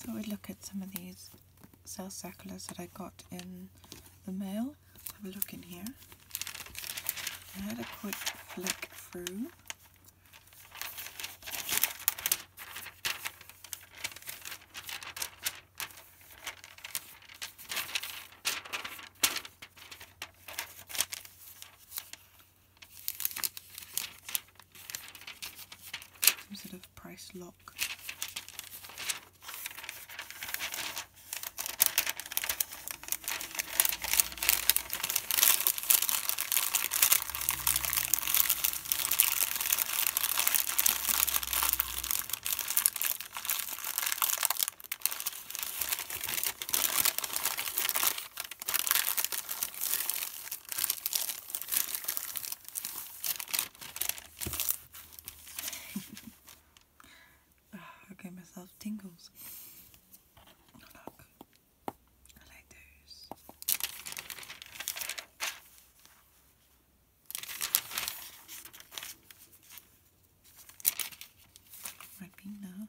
So we look at some of these cell circulars that I got in the mail. Have a look in here. I had a quick flick through. Some sort of price lock. Ah, I gave myself tingles. Look, I like those. Ribena.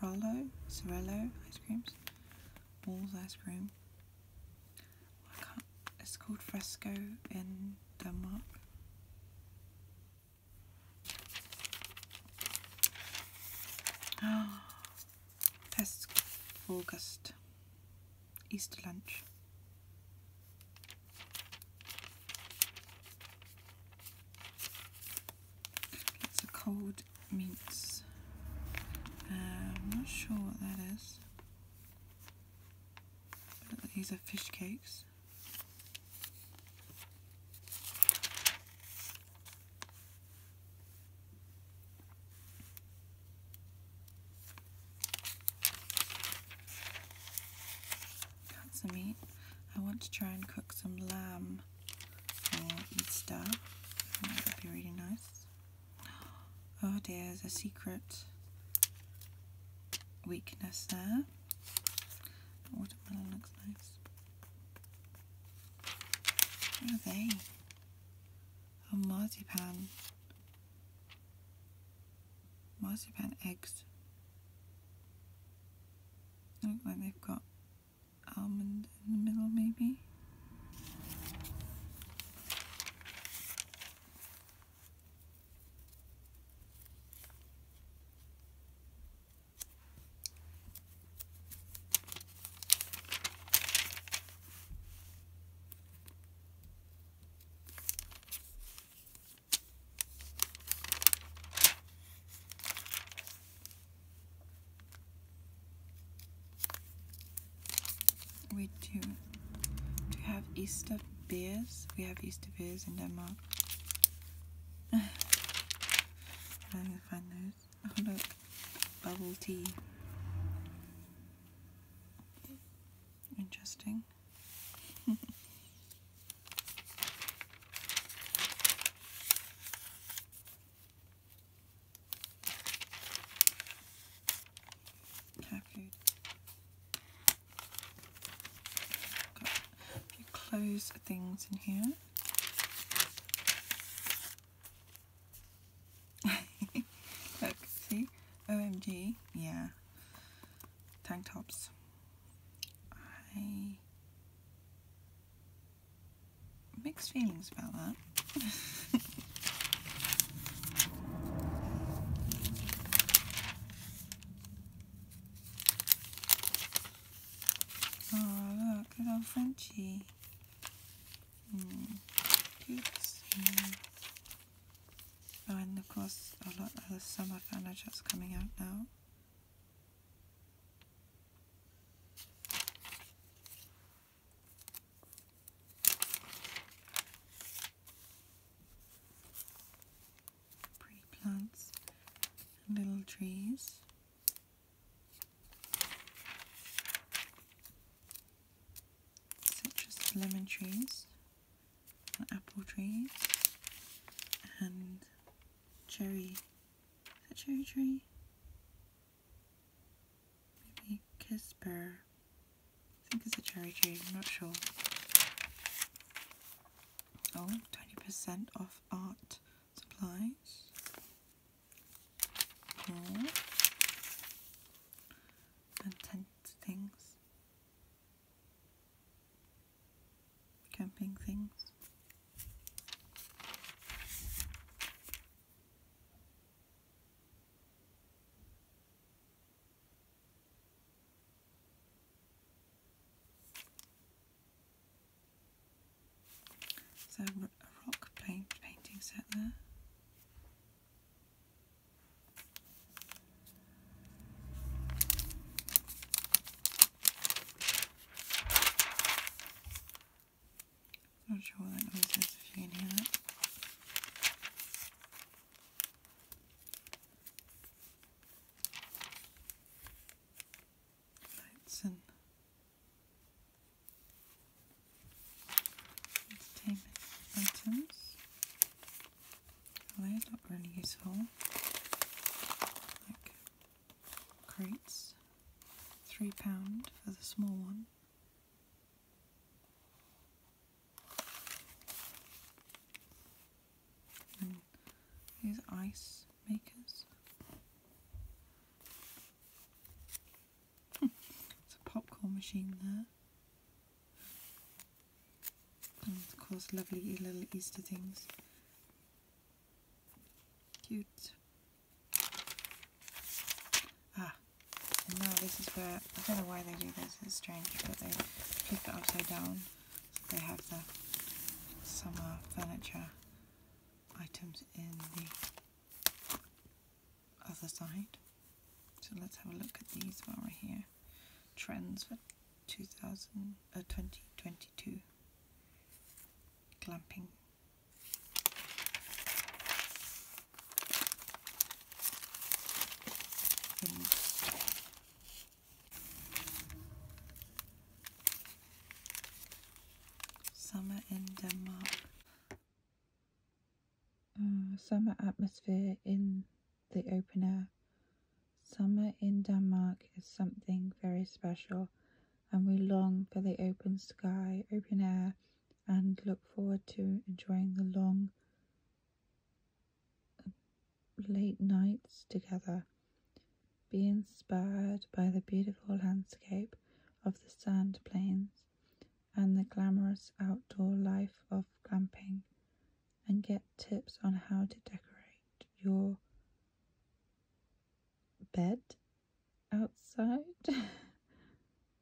Sorello, Sorello ice creams, balls ice cream. it's called Fresco in Denmark. Ah, oh, August. Easter lunch. It's a cold meats. Uh, I'm not sure what that is. But these are fish cakes. Got some meat. I want to try and cook some lamb for Easter. That would be really nice. Oh there's a secret weakness there. The watermelon looks nice. What are they? A oh, marzipan marzipan eggs. look like they've got almond in the middle, maybe. We do. Do have Easter beers? We have Easter beers in Denmark. I'm gonna find those. Oh look, bubble tea. Interesting. Cat Got a few clothes things in here. Look, see? OMG, yeah tank tops. I mixed feelings about that. oh look, little Frenchie. Mm, cute. Oh, and of course, a lot of the summer furniture that's coming out now. Pretty plants little trees. Citrus lemon trees and apple trees and cherry. Is that cherry tree? Maybe Kisper. I think it's a cherry tree, I'm not sure. Oh, 20% off art supplies. More. And tent things camping things. So a rock paint painting set there i not sure what that noise is if you can hear that. Lights and entertainment items. Well, those not really useful. Like crates. £3 for the small one. these ice makers. it's a popcorn machine there of course, lovely little Easter things. Cute. Ah, now this is where, I don't know why they do this, it's strange, but they flip it upside down. they have the summer furniture items in the other side. So let's have a look at these while we're here. Trends for 2000, uh, 2022. Glamping. summer in Denmark. Uh, summer atmosphere in the opener. Summer in Denmark is something very special, and we long for the open sky, open air, and look forward to enjoying the long late nights together. Be inspired by the beautiful landscape of the sand plains and the glamorous outdoor life of camping and get tips on how to decorate your bed outside.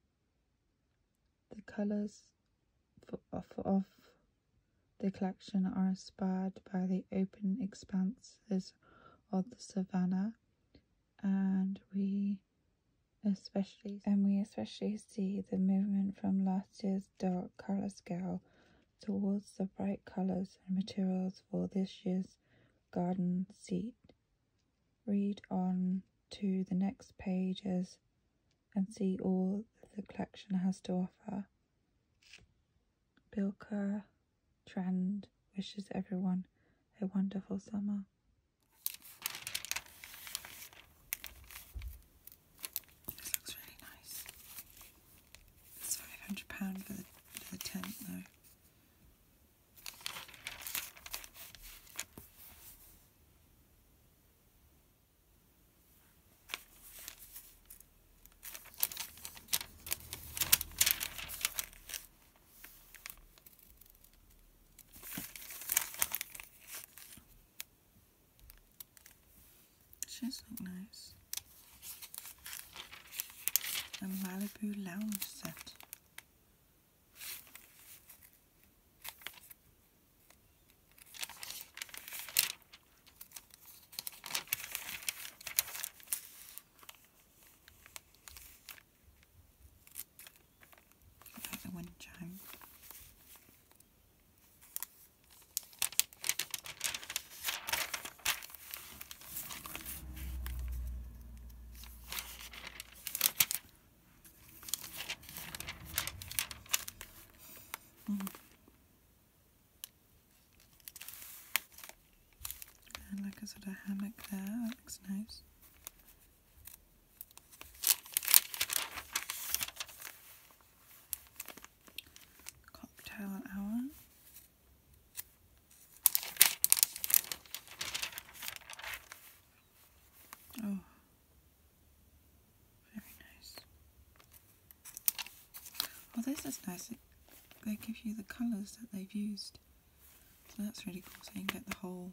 the colours of, the collection are inspired by the open expanses of the savannah and we especially and we especially see the movement from last year's dark color scale towards the bright colors and materials for this year's garden seat. Read on to the next pages and see all that the collection has to offer. Bilka Trend wishes everyone a wonderful summer. This looks really nice. It's £500 for the, for the tent though. She's look nice. A Malibu lounge set. Like wind chime. Mm. And like a sort of hammock there, that looks nice cocktail an hour. Oh, very nice. Oh, this is nice. They give you the colours that they've used. So that's really cool. So you can get the whole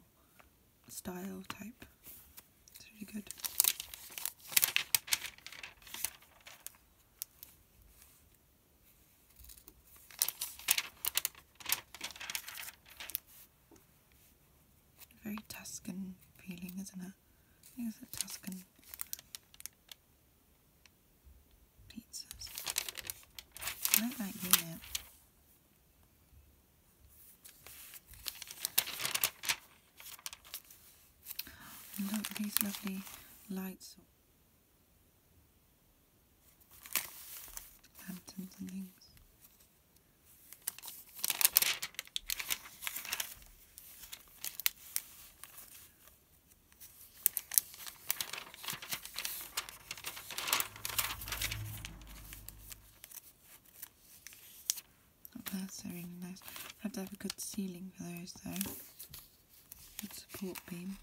style type it's really good. Very Tuscan feeling, isn't it? think it's a Tuscan pizzas. I like that look at these lovely lights, lanterns and things. Oh, that's really nice. Have to have a good ceiling for those though. Good support beam.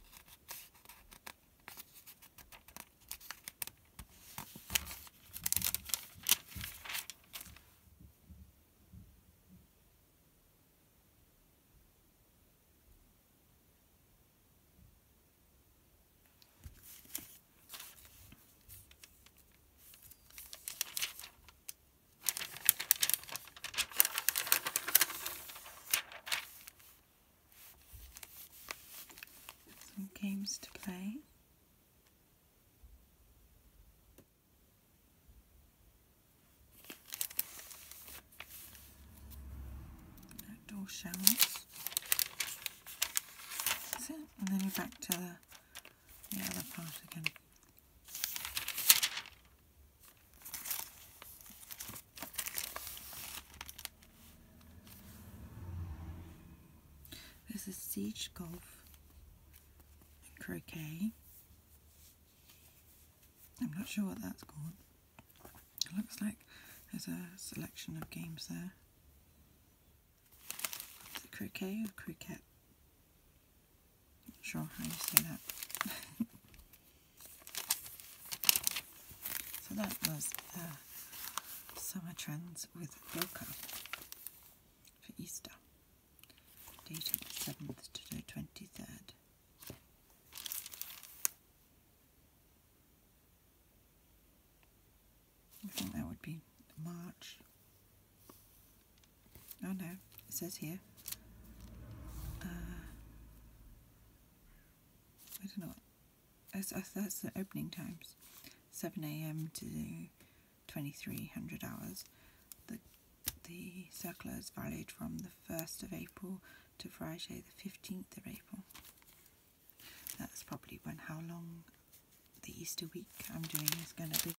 Some games to play. Outdoor showers. That's it. And then you're back to the, the other part again. There's a Siege Golf and Croquet. I'm not sure what that's called. It looks like there's a selection of games there. it croquet or cricket? Not sure how you say that. so that was uh, Summer Trends with Boca for Easter, dated the 7th to the 23rd. I think that would be March Oh no, it says here. Uh, I don't know That's, the opening times 7 a.m. to 2300 hours. The, the circular is valid from the 1st of April to Friday, the 15th of April. That's probably when how long the Easter week I'm doing is going to be.